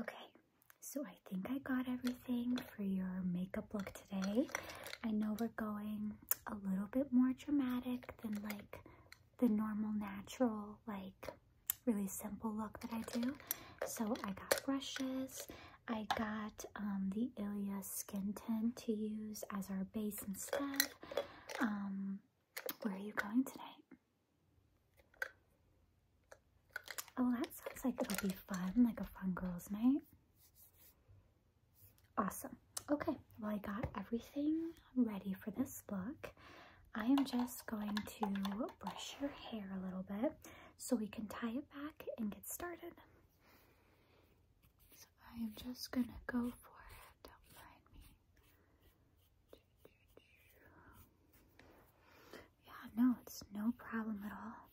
Okay, so I think I got everything for your makeup look today. I know we're going a little bit more dramatic than like the normal natural, like really simple look that I do. So I got brushes. I got um, the Ilia Skin Tint to use as our base instead. Um, where are you going tonight? Oh, that sounds like it'll be fun, like a fun girls' night. Awesome. Okay, well, I got everything ready for this look. I am just going to brush your hair a little bit so we can tie it back and get started. So I am just going to go for it. Don't mind me. Yeah, no, it's no problem at all.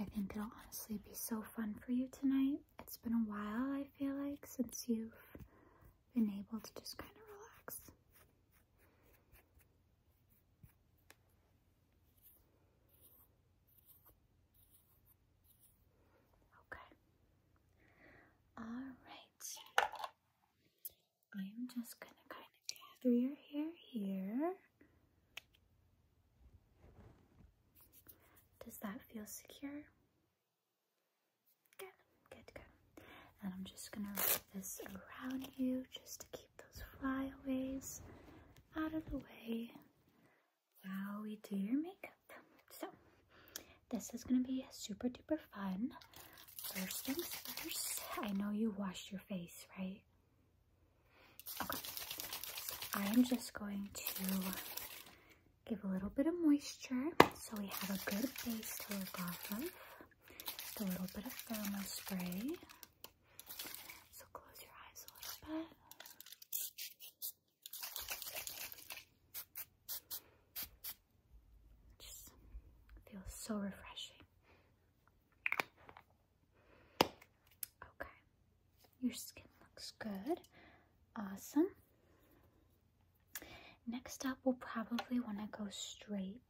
I think it'll honestly be so fun for you tonight. It's been a while, I feel like, since you've been able to just kind of relax. Okay. All right. I'm just going to kind of gather your hair here. Does that feel secure? Good, good, good. And I'm just going to wrap this around you just to keep those flyaways out of the way while we do your makeup. So this is going to be super duper fun. First things first, I know you washed your face, right? Okay. I'm just going to give a little bit of moisture so we have a good base to work off of. Just a little bit of thermal spray. So close your eyes a little bit. Just feels so refreshing. Okay, your skin looks good. Awesome. Next up, we'll probably want to go straight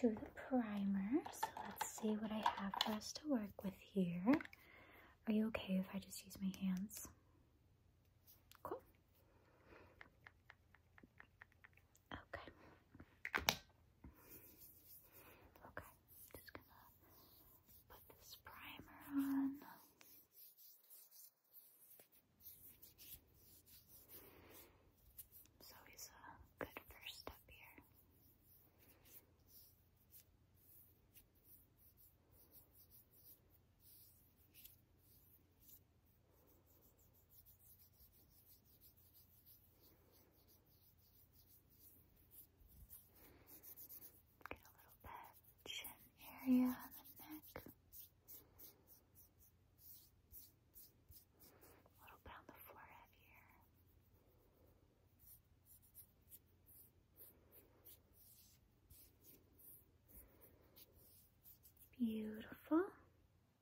to the primer. So let's see what I have for us to work with here. Are you okay if I just use my hands? Cool. Okay. Okay, just gonna put this primer on. It's a good first step here. Get a little bit chin area the neck. A little bit on the forehead here. Beautiful.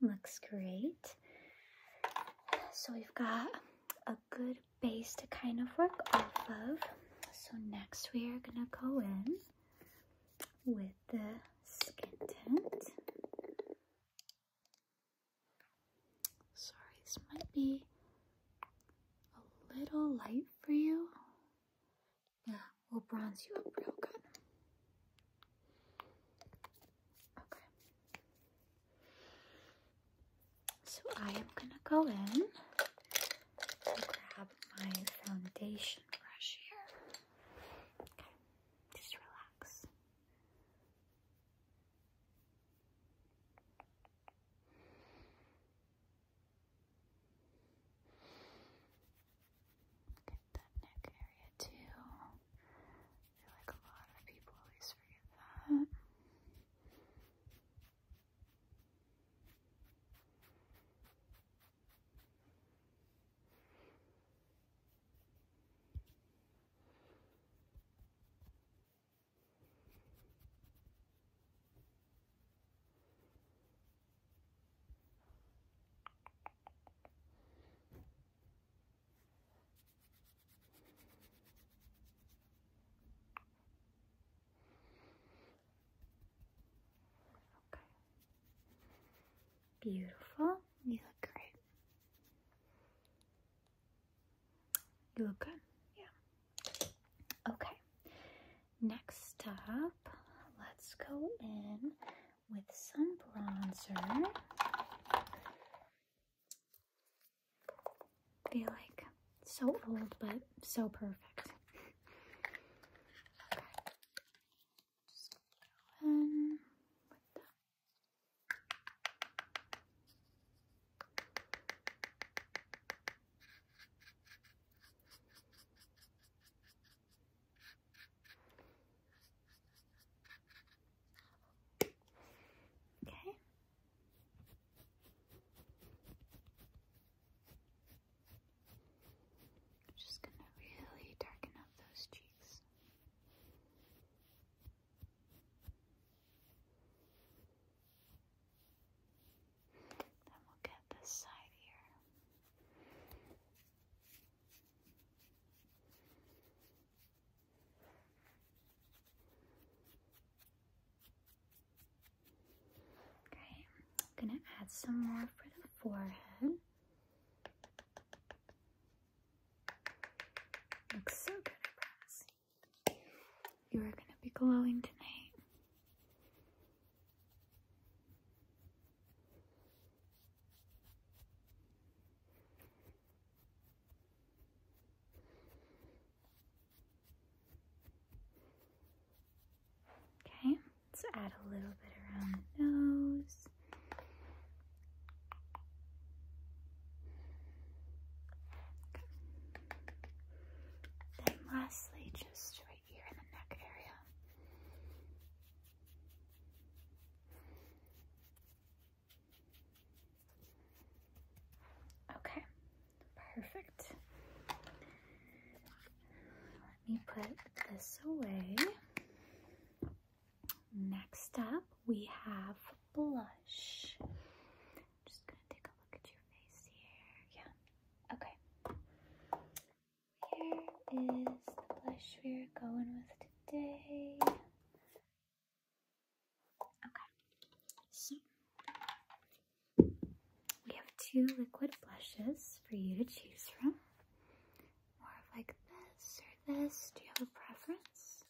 Looks great. So we've got a good base to kind of work off of. So next we are going to go in with the skin tint. Sorry, this might be a little light for you. Yeah, we'll bronze you up real good. Okay. So I am gonna go in and grab my foundation brush here. Okay, just relax. Get that neck area too. I feel like a lot of people always forget that. Okay. Beautiful. You look great. You look good. Yeah. Okay. Next up, let's go in with some bronzer. feel like so old, but so perfect. Okay. i just going to really darken up those cheeks. Then we'll get this side here. Okay, I'm going to add some more for the forehead. Looks so good, I you are going to be glowing tonight. Okay, let's add a little bit around the nose. Then lastly, just right here in the neck area. Okay, perfect. Let me put this away. Next up, we have blush. just gonna take a look at your face here. Yeah. Okay. Here is the blush we're going with today. Okay. So we have two liquid blushes for you to choose from. More of like this or this. Do you have a preference?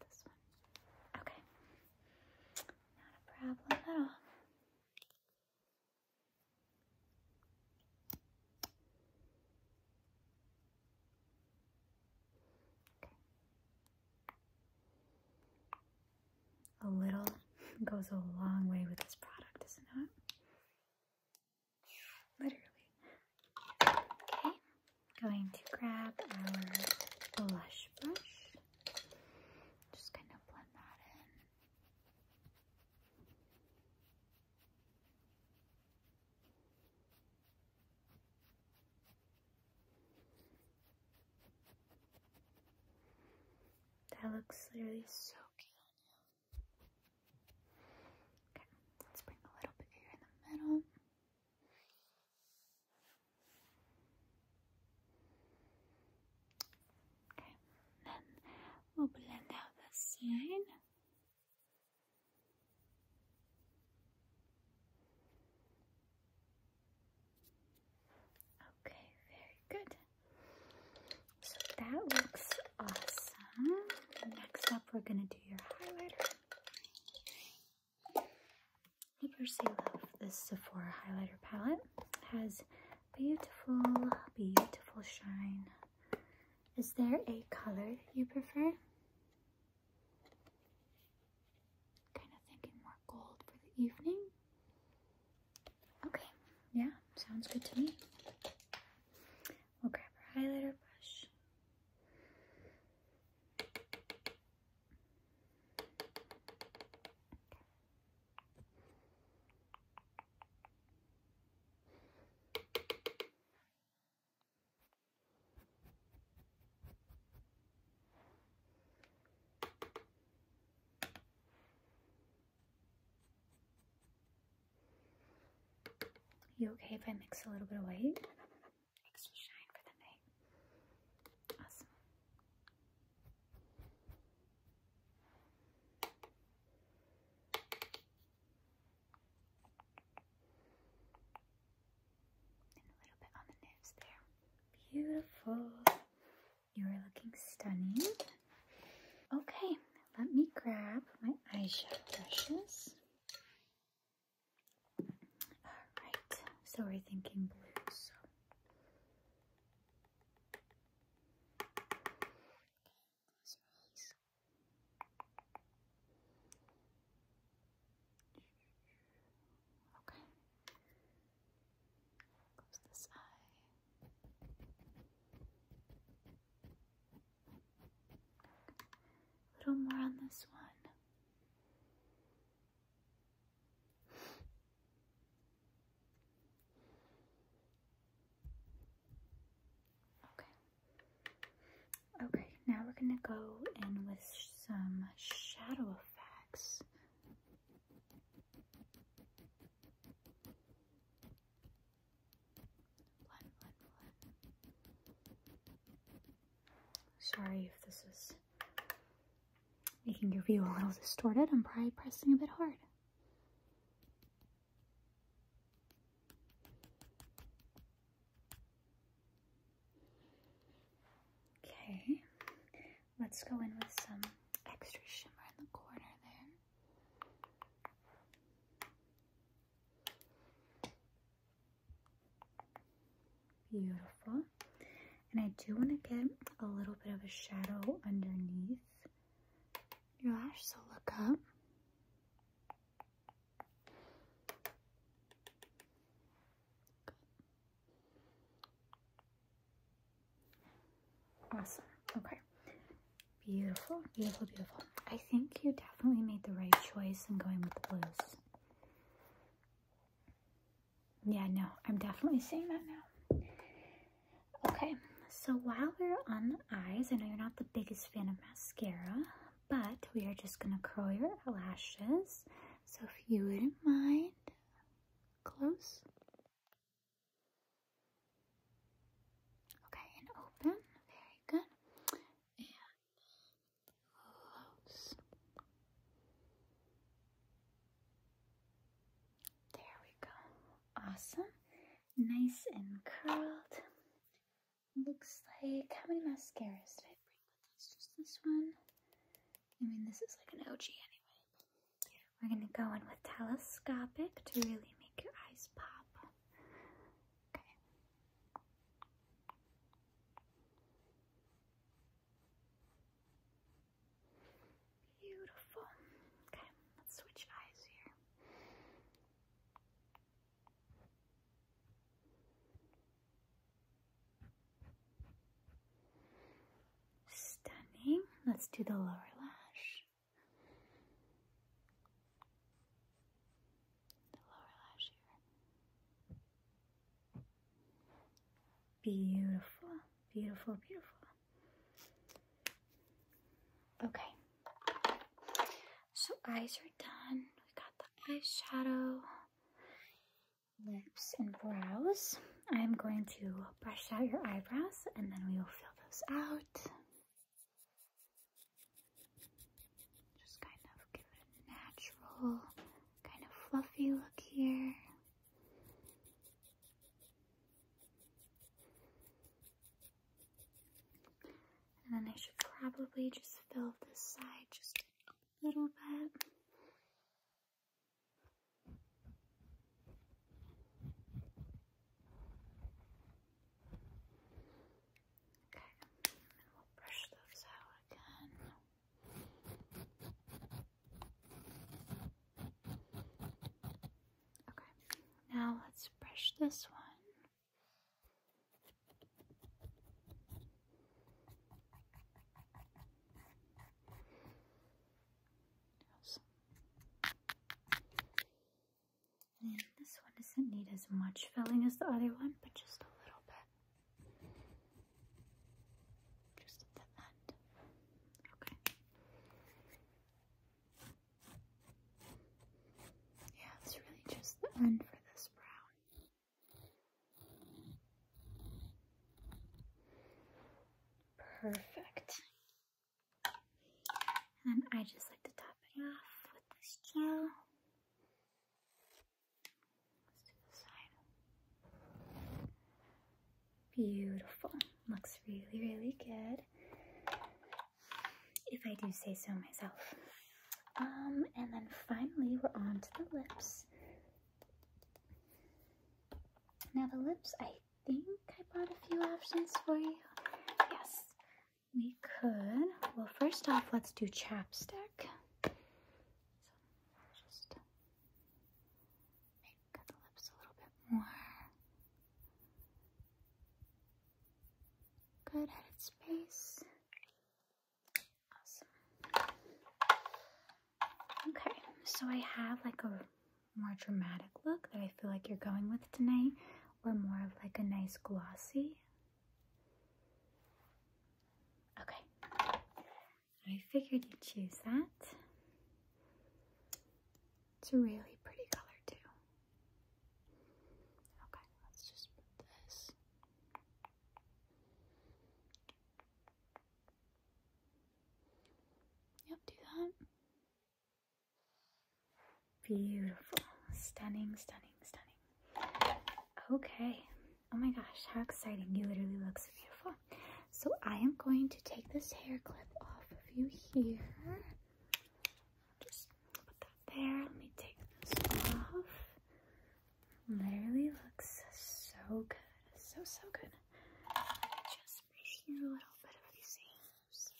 This one. Okay. Not a problem at all. Okay. A little goes a long way with this product, doesn't it? literally. Okay, going to grab our blush brush. Just kind of blend that in. That looks literally so cute on you let's bring a little bit here in the middle. Okay, then we'll blend out the side. Okay, very good. So that looks awesome. Next up, we're gonna do your highlighter. I personally love this Sephora highlighter palette. has beautiful, beautiful shine. Is there a color you prefer? Kind of thinking more gold for the evening. Okay, yeah, sounds good to me. We'll grab our highlighter brush. You okay if I mix a little bit of white? Extra shine for the night. Awesome. And a little bit on the nose there. Beautiful. You are looking stunning. Okay, let me grab my eyeshadow brushes. Alright, so we're thinking blues. Okay. Close this eye. A little more on this one. Okay. Okay, now we're going to go in with some shadow effects. Sorry if this is making your view a little distorted. I'm probably pressing a bit hard. Okay, let's go in with some extra shimmer in the corner there. Beautiful. And I do want to get a little bit of a shadow underneath your lash, so look up. Awesome. Okay. Beautiful, beautiful, beautiful. I think you definitely made the right choice in going with the blues. Yeah, no, I'm definitely seeing that now. Okay, so while we're on the eyes, I know you're not the biggest fan of mascara, but we are just going to curl your lashes. So if you wouldn't mind, close. Okay, and open. Very good. And close. There we go. Awesome. Nice and curled. Looks like how many mascaras did I bring with this? Just this one. I mean, this is like an OG anyway. We're going to go in with telescopic to really make your eyes pop. Okay. Beautiful. Okay, let's switch eyes here. Stunning. Let's do the lower lash the lower lash here. Beautiful, beautiful, beautiful. Okay, so eyes are done. We got the eyeshadow, lips, and brows. I'm going to brush out your eyebrows and then we will fill those out. Just kind of give it a natural, kind of fluffy look here. And then I should probably just fill this side just a little bit. Okay, and we'll brush those out again. Okay, now let's brush this one this one doesn't need as much filling as the other one, but just a little bit. Just at the end. Okay. Yeah, it's really just the end for this brown. Perfect. And I just like to top it off with this gel. Let's do the side. Beautiful. Looks really, really good. If I do say so myself. Um, and then finally we're on to the lips. Now the lips, I I think I brought a few options for you. Yes, we could. Well, first off, let's do chapstick. just make the lips a little bit more. Good at Awesome. Okay, so I have like a more dramatic look that I feel like you're going with tonight, or more of like a nice glossy. Okay, I figured you'd choose that. It's a really pretty color too. Okay, let's just put this. Yep, do that. Beautiful. Stunning, stunning, stunning. Okay. Oh my gosh, how exciting. You literally look beautiful. So I am going to take this hair clip off of you here. Just put that there. Let me take this off. Literally looks so good. So, so good. Just brush through a little bit of these seams.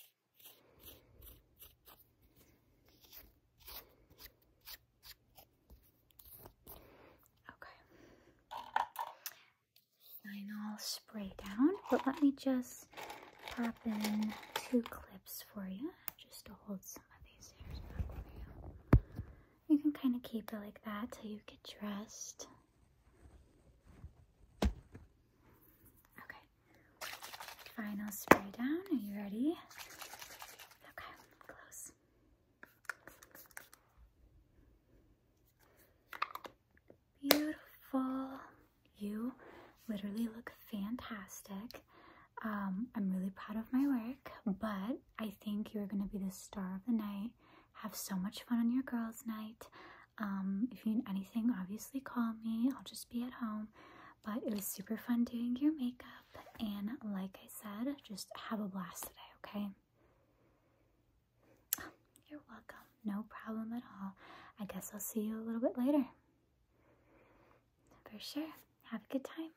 Okay. Final spray down, but let me just pop in two clips for you just to hold some of these hairs back for you. You can kind of keep it like that till you get dressed. Okay. Final spray down. Are you ready? Okay, close. Beautiful. You literally look fantastic. Um, I'm really proud of my work, but I think you're going to be the star of the night. Have so much fun on your girls' night. Um, if you need anything, obviously call me. I'll just be at home. But it was super fun doing your makeup. And like I said, just have a blast today, okay? you're welcome. No problem at all. I guess I'll see you a little bit later. For sure. Have a good time.